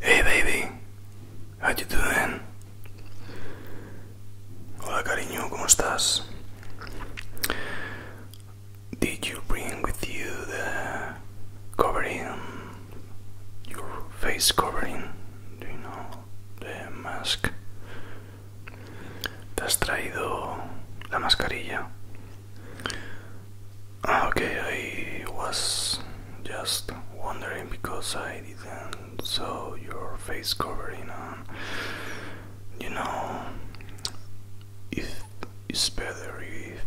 Hey baby, how you doing? Hola cariño, ¿cómo estás? Did you bring with you the covering your face covering, do you know, the mask. Te has traído la mascarilla. Ah, okay, I was just wondering because I didn't saw your face covering, and uh, you know, if it's better if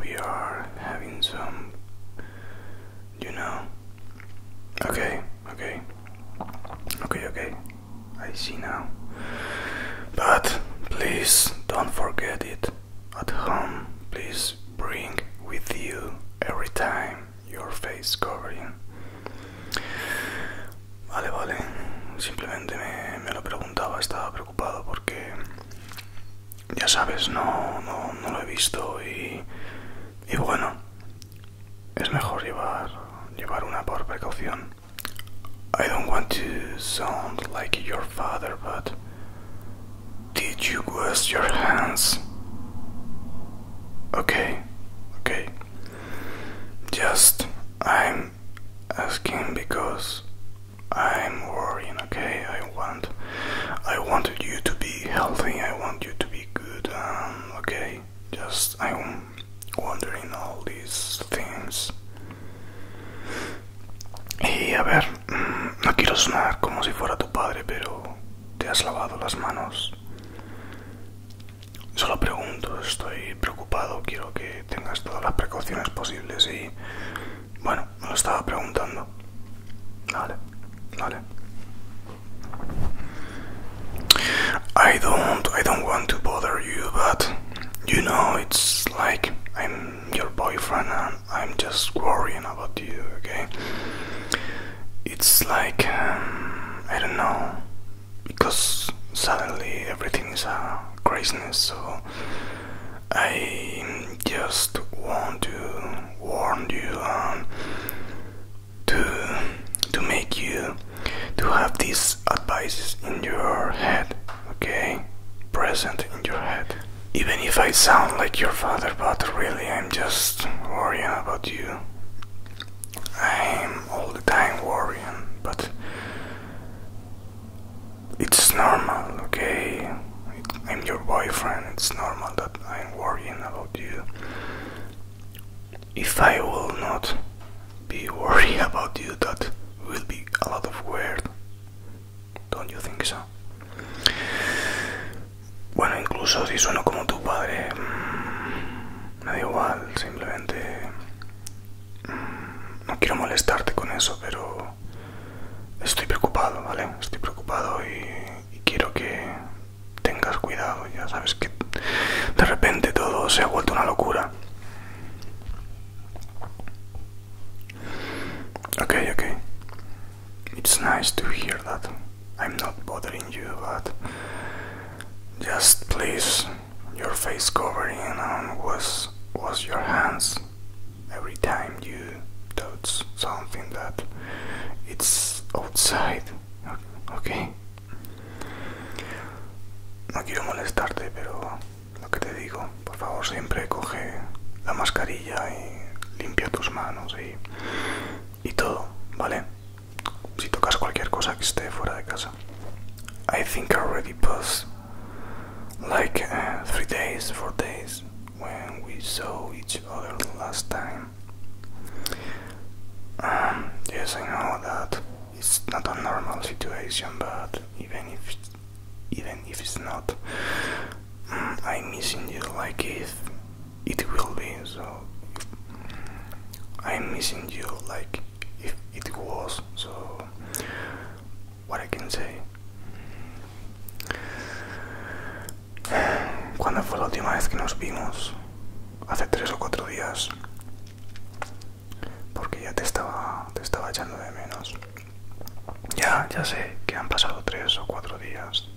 we are having some you know. Okay, okay. Okay, okay. I see now. But please don't forget it. At home, please bring with you every time your face covering. Vale, vale. Simplemente me, me lo preguntaba, estaba preocupado porque ya sabes, no, no, no lo he visto y, y bueno, es mejor llevar, llevar una por precaución. I don't want to sound like your father, but did you wash your hands? Okay, okay. Just I'm asking because I'm worrying, okay? I want I wanted you to be healthy, I want you to be good, um, okay? Just I'm wondering all these things. Y a ver, mm, no quiero sonar como si fuera tu padre, pero te has lavado las manos. Solo pregunto, estoy preocupado, quiero que tengas todas las precauciones posibles y I don't, I don't want to bother you, but you know, it's like I'm your boyfriend and I'm just worrying about you, okay? It's like, um, I don't know, because suddenly everything is a craziness, so I just want to warn you um, to to make you to have these advices in your head, okay? Present in your head. Even if I sound like your father, but really I'm just worrying about you. I'm all the time worrying, but it's normal, okay? I'm your boyfriend, it's normal that I'm worrying about you. If I will not be worrying about you, that will be a lot of weird. Don't you think so? Bueno, incluso si sueno como tu padre, mm, me da igual, simplemente. Mm, no quiero molestarte con eso, pero estoy preocupado, ¿vale? Estoy preocupado y, quiero que tengas cuidado, ya sabes que de repente todo se ha vuelto una locura. Okay, okay. It's nice to hear that. I'm not bothering you, but just please, your face covering on um, was was your hands every time you touch something that it's outside okay no quiero molestarte pero lo que te digo por favor siempre coge la mascarilla y limpia tus manos y, todo vale si tocas cualquier cosa que esté fuera de casa I think I already like uh, three days, four days when we saw each other last time. Um, yes, I know that it's not a normal situation, but even if even if it's not, I'm mm, missing you. Like if it will be, so I'm missing you. Like if it was, so what I can say. ¿Cuándo fue la última vez que nos vimos? Hace tres o cuatro días. Porque ya te estaba, te estaba echando de menos. Ya, ya sé que han pasado tres o cuatro días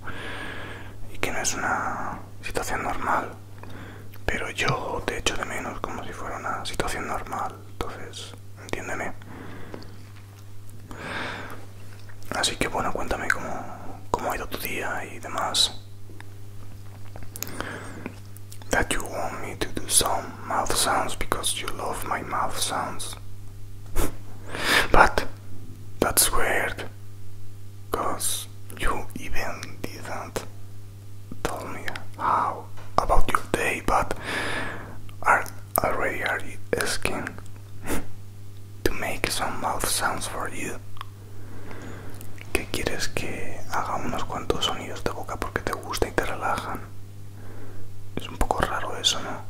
y que no es una situación normal. Pero yo te echo de menos como si fuera una situación normal. Entonces, entiéndeme. Así que bueno, cuéntame cómo, cómo ha ido tu día y demás. That you want me to do some mouth sounds because you love my mouth sounds. But that's weird, because you even didn't tell me how about your day, but are already are asking to make some mouth sounds for you. ¿Qué quieres que haga unos cuantos sonidos de boca porque te gusta y te relajan? Es un poco raro eso, ¿no?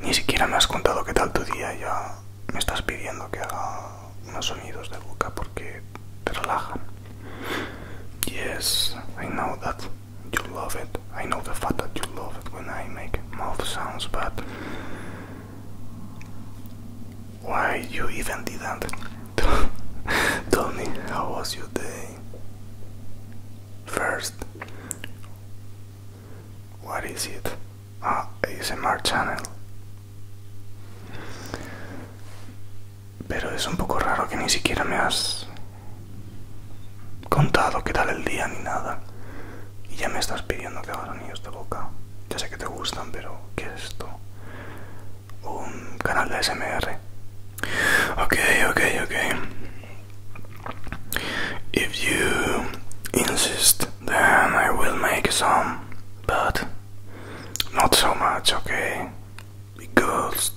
Ni siquiera me has contado qué tal tu día, ya me estás pidiendo que haga unos sonidos de boca porque te relajan. Yes, I know that. you love it. I know the fact that you love it when I make mouth sounds, but why you even didn't tell me how was your day first? What is it? Ah, ASMR channel. Pero es un poco raro que ni siquiera me has contado qué tal el día ni nada. Y ya me estás pidiendo que hagas anillos de boca. Ya sé que te gustan, pero ¿qué es esto? Un canal de SMR. Ok, ok, ok. If you insist, then I will make some, but not so much, okay? because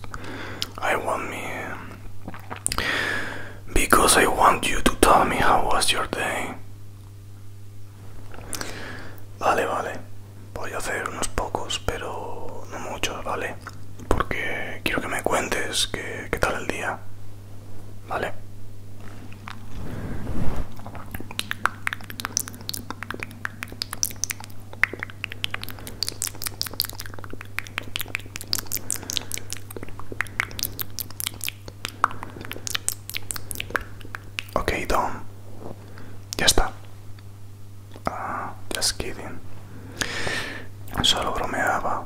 I want me because I want you to tell me how was your day. Vale, vale. Voy a hacer unos pocos, pero no muchos, ¿vale? Porque quiero que me cuentes qué, qué tal el día. ¿Vale? Okay, Dom. Ya está. Ah, just kidding. Solo bromeaba.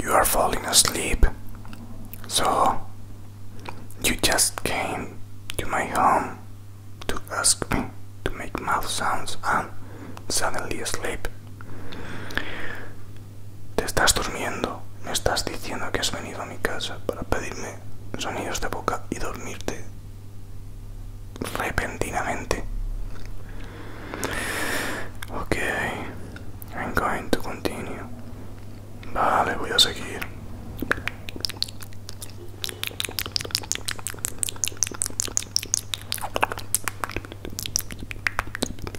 You are falling asleep, so you just came to my home to ask me to make mouth sounds and suddenly sleep. Te estás durmiendo. Me estás diciendo que has venido a mi casa para pedirme sonidos de boca y dormirte repentinamente. Ok, I'm going to continue. Vale, voy a seguir.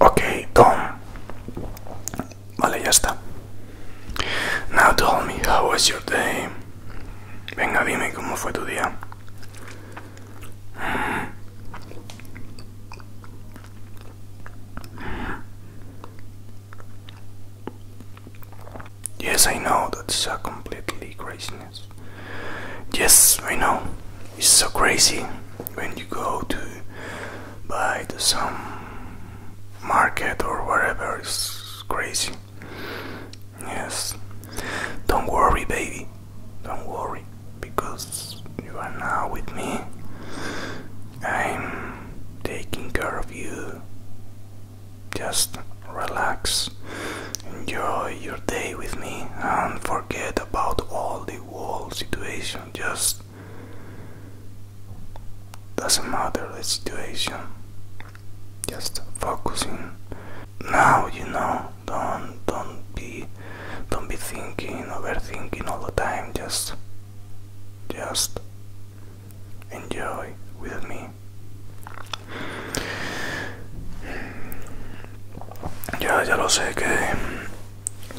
Ok, Tom. Vale, ya está. Now tell me, how was your day? Venga, dime cómo fue tu día. Yes, I know that's a completely crazy Yes, I know. It's so crazy when you go to buy some market or whatever. It's crazy. Yes. Don't worry, baby. Don't worry because you are now with me. I'm taking care of you. Just relax, enjoy your day with me, and forget about all the whole situation. Just doesn't matter the situation, just focusing. Now you know, don't don't be don't be thinking, overthinking all the time. Just just enjoy with me Ya, ya lo sé que,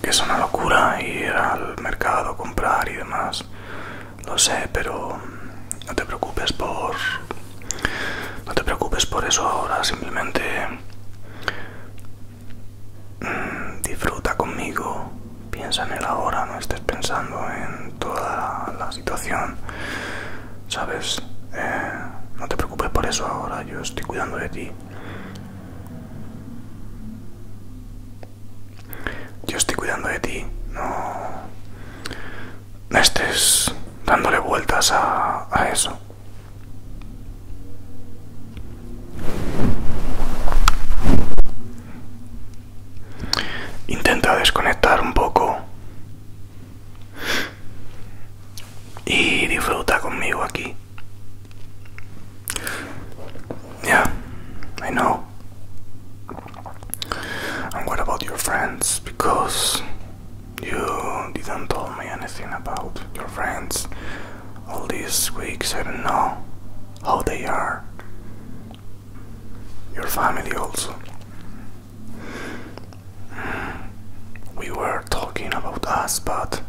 es una locura ir al mercado, comprar y demás. Lo sé, pero no te preocupes por. No te preocupes por eso ahora, simplemente. Mm, disfruta conmigo, piensa en el ahora, no estés pensando en todas las situación, ¿sabes? Eh, no te preocupes por eso ahora, yo estoy cuidando de ti. Yo estoy cuidando de ti, no, estés dándole vueltas a, a eso. Intenta desconectar un poco Yeah, I know. And what about your friends? Because you didn't tell me anything about your friends all these weeks. I don't know how they are. Your family also we were talking about us, but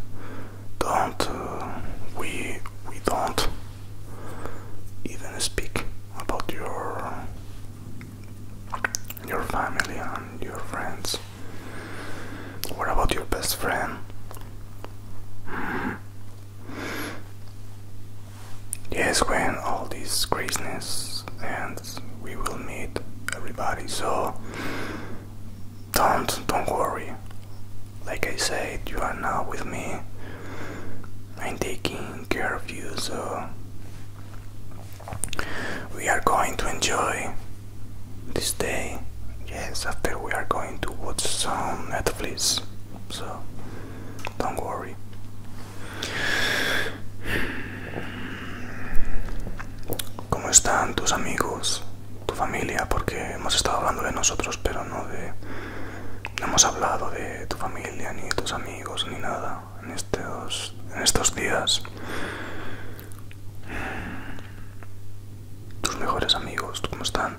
don't uh, we we don't even speak about your your family and your friends. What about your best friend? Yes, when all this craziness ends, we will meet everybody. So don't don't worry. Like I said, you are now with me. I'm taking care of you, so we are going to enjoy this day. Yes, after we are going to watch some Netflix. So don't worry. ¿Cómo están tus amigos, tu familia? Porque hemos estado hablando de nosotros, pero no de... No hemos hablado de tu familia, ni de tus amigos, ni nada en estos, en estos días. Tus mejores amigos, ¿cómo están?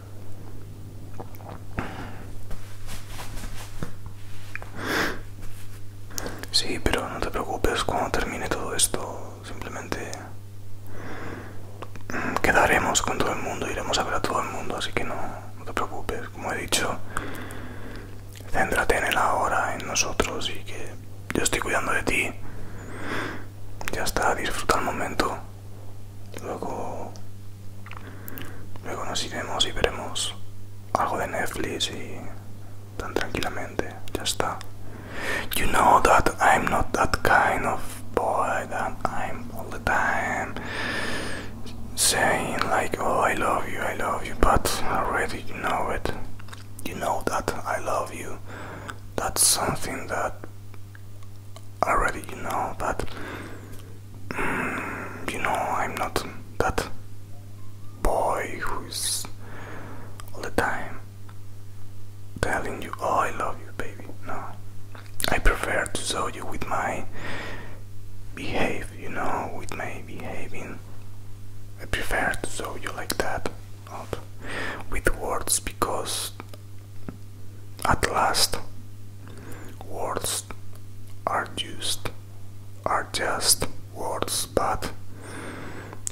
Sí, pero no te preocupes, cuando termine todo esto, simplemente mm, quedaremos con todo el mundo, iremos a ver a todo el mundo, así que no, te preocupes, como he dicho, céntrate en el ahora, en nosotros y que yo estoy cuidando de ti. Ya está, disfruta el momento. Luego Luego nos iremos y veremos algo de Netflix y tan tranquilamente, ya está. You know that I'm not that kind of boy that I'm all the time saying like, oh, I love you, I love you, but already you know it. You know that I love you. That's something that already you know, but you know, I'm not that boy who's all the time telling you, oh, I love you, baby. No, I prefer to show you with my behave, you know, with my behaving. I prefer to show you like that, not with words, because at last Words are just are just words, but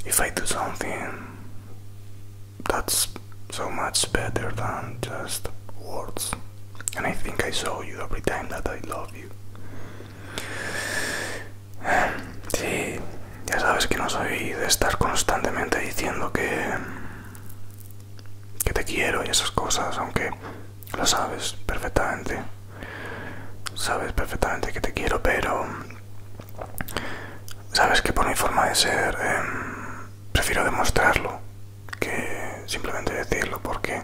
if I do something that's so much better than just words. And I think I saw you every time that I love you. Sí, ya sabes que no soy de estar constantemente diciendo que que te quiero y esas cosas, aunque lo sabes perfectamente. Sabes perfectamente que te quiero, pero sabes que por mi forma de ser em, prefiero demostrarlo que simplemente decirlo, porque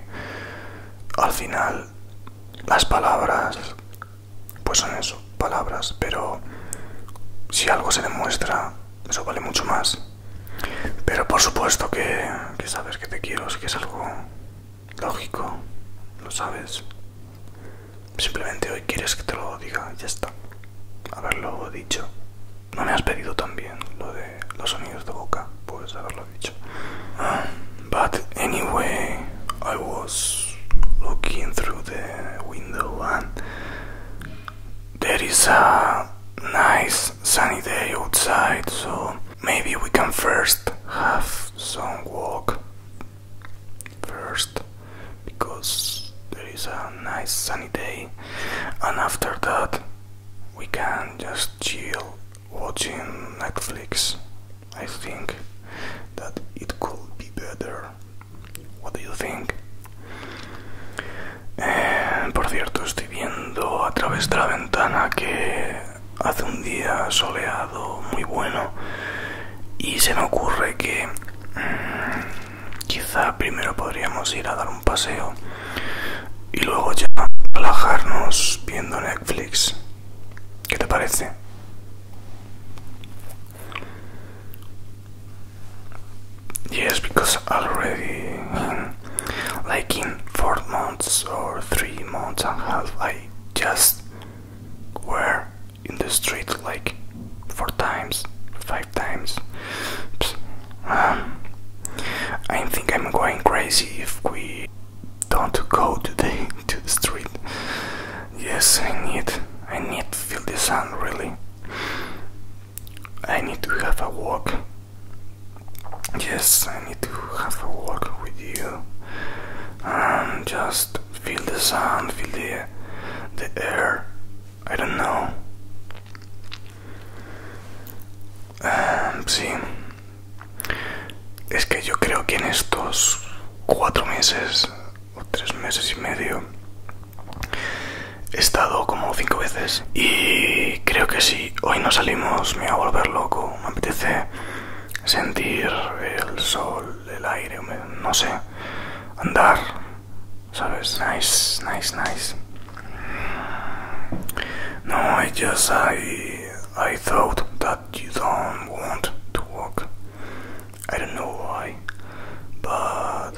al final las palabras, pues son eso, palabras, pero si algo se demuestra, eso vale mucho más. Pero por supuesto que, sabes que te quiero, es que es algo lógico, lo sabes. Simplemente hoy quieres que te lo diga, ya está. Haberlo dicho. No me has pedido también lo de los sonidos de boca, pues haberlo dicho. but anyway, I was looking through the window and there is a nice sunny day outside, so maybe we can first have some walk first because there is a nice sunny day, and after that we can just chill watching Netflix. I think that it could be better. What do you think? Eh, por cierto, estoy viendo a través de la ventana que hace un día soleado muy bueno y se me ocurre que mm, quizá primero podríamos ir a dar un paseo y luego ya relajarnos viendo Netflix. ¿Qué te parece? Yes, because already like in four months or three months and a half, I just were in the street like four times, five times. I think I'm going crazy if we don't go today to the street. Yes, I need, I need to feel the sun really. I need to have a walk. Yes, I need to have a walk with you and just feel the sun, feel the, the air. I don't know. Um, sí, es que yo creo que en estos cuatro meses o tres meses y medio He estado como cinco veces y creo que si hoy no salimos me va a volver loco. Me apetece sentir el sol, el aire, no sé, andar, ¿sabes? Nice, nice, nice. No, I just, I, I thought that you don't want to walk. I don't know why, but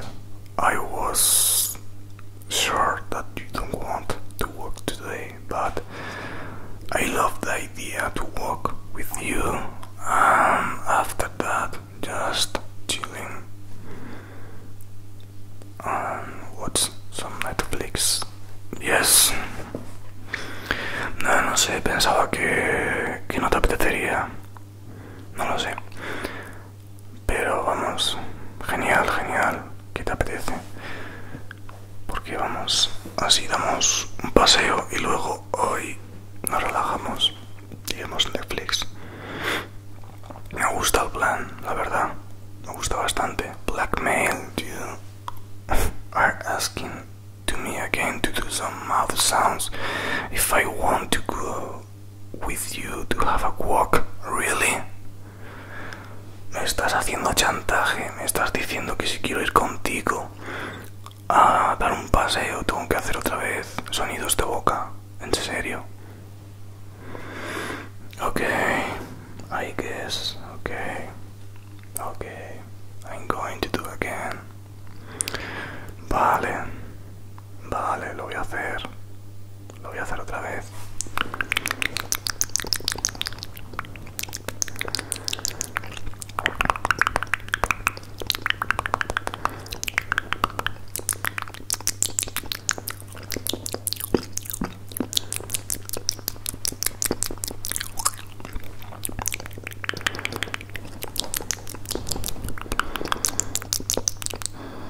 I was sure that you don't want to work today, but I love the idea to work with you, and um, after that, just chilling and um, watch some Netflix. Yes, no, no sé, pensaba que, que no te apetecería. No lo sé. Pero vamos, genial, genial, ¿qué te apetece? Porque vamos, así damos un paseo y luego hoy nos relajamos y vemos Netflix. Me gusta el plan, la verdad. Me gusta bastante. Blackmail, you are asking to me again to do some mouth sounds if I want to go with you to have a walk, really? Me estás haciendo chantaje, me estás diciendo que si quiero ir contigo a dar un paseo tengo que hacer otra vez sonidos de boca, en serio. Okay, I guess, okay, okay, I'm going to do again. Vale, vale, lo voy a hacer. Lo voy a hacer otra vez.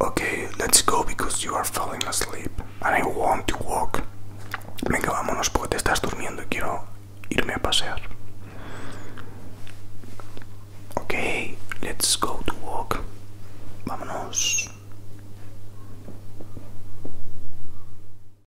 Okay, let's go because you are falling asleep and I want to walk. Venga, vámonos porque te estás durmiendo y quiero irme a pasear. Okay, let's go to walk. Vámonos.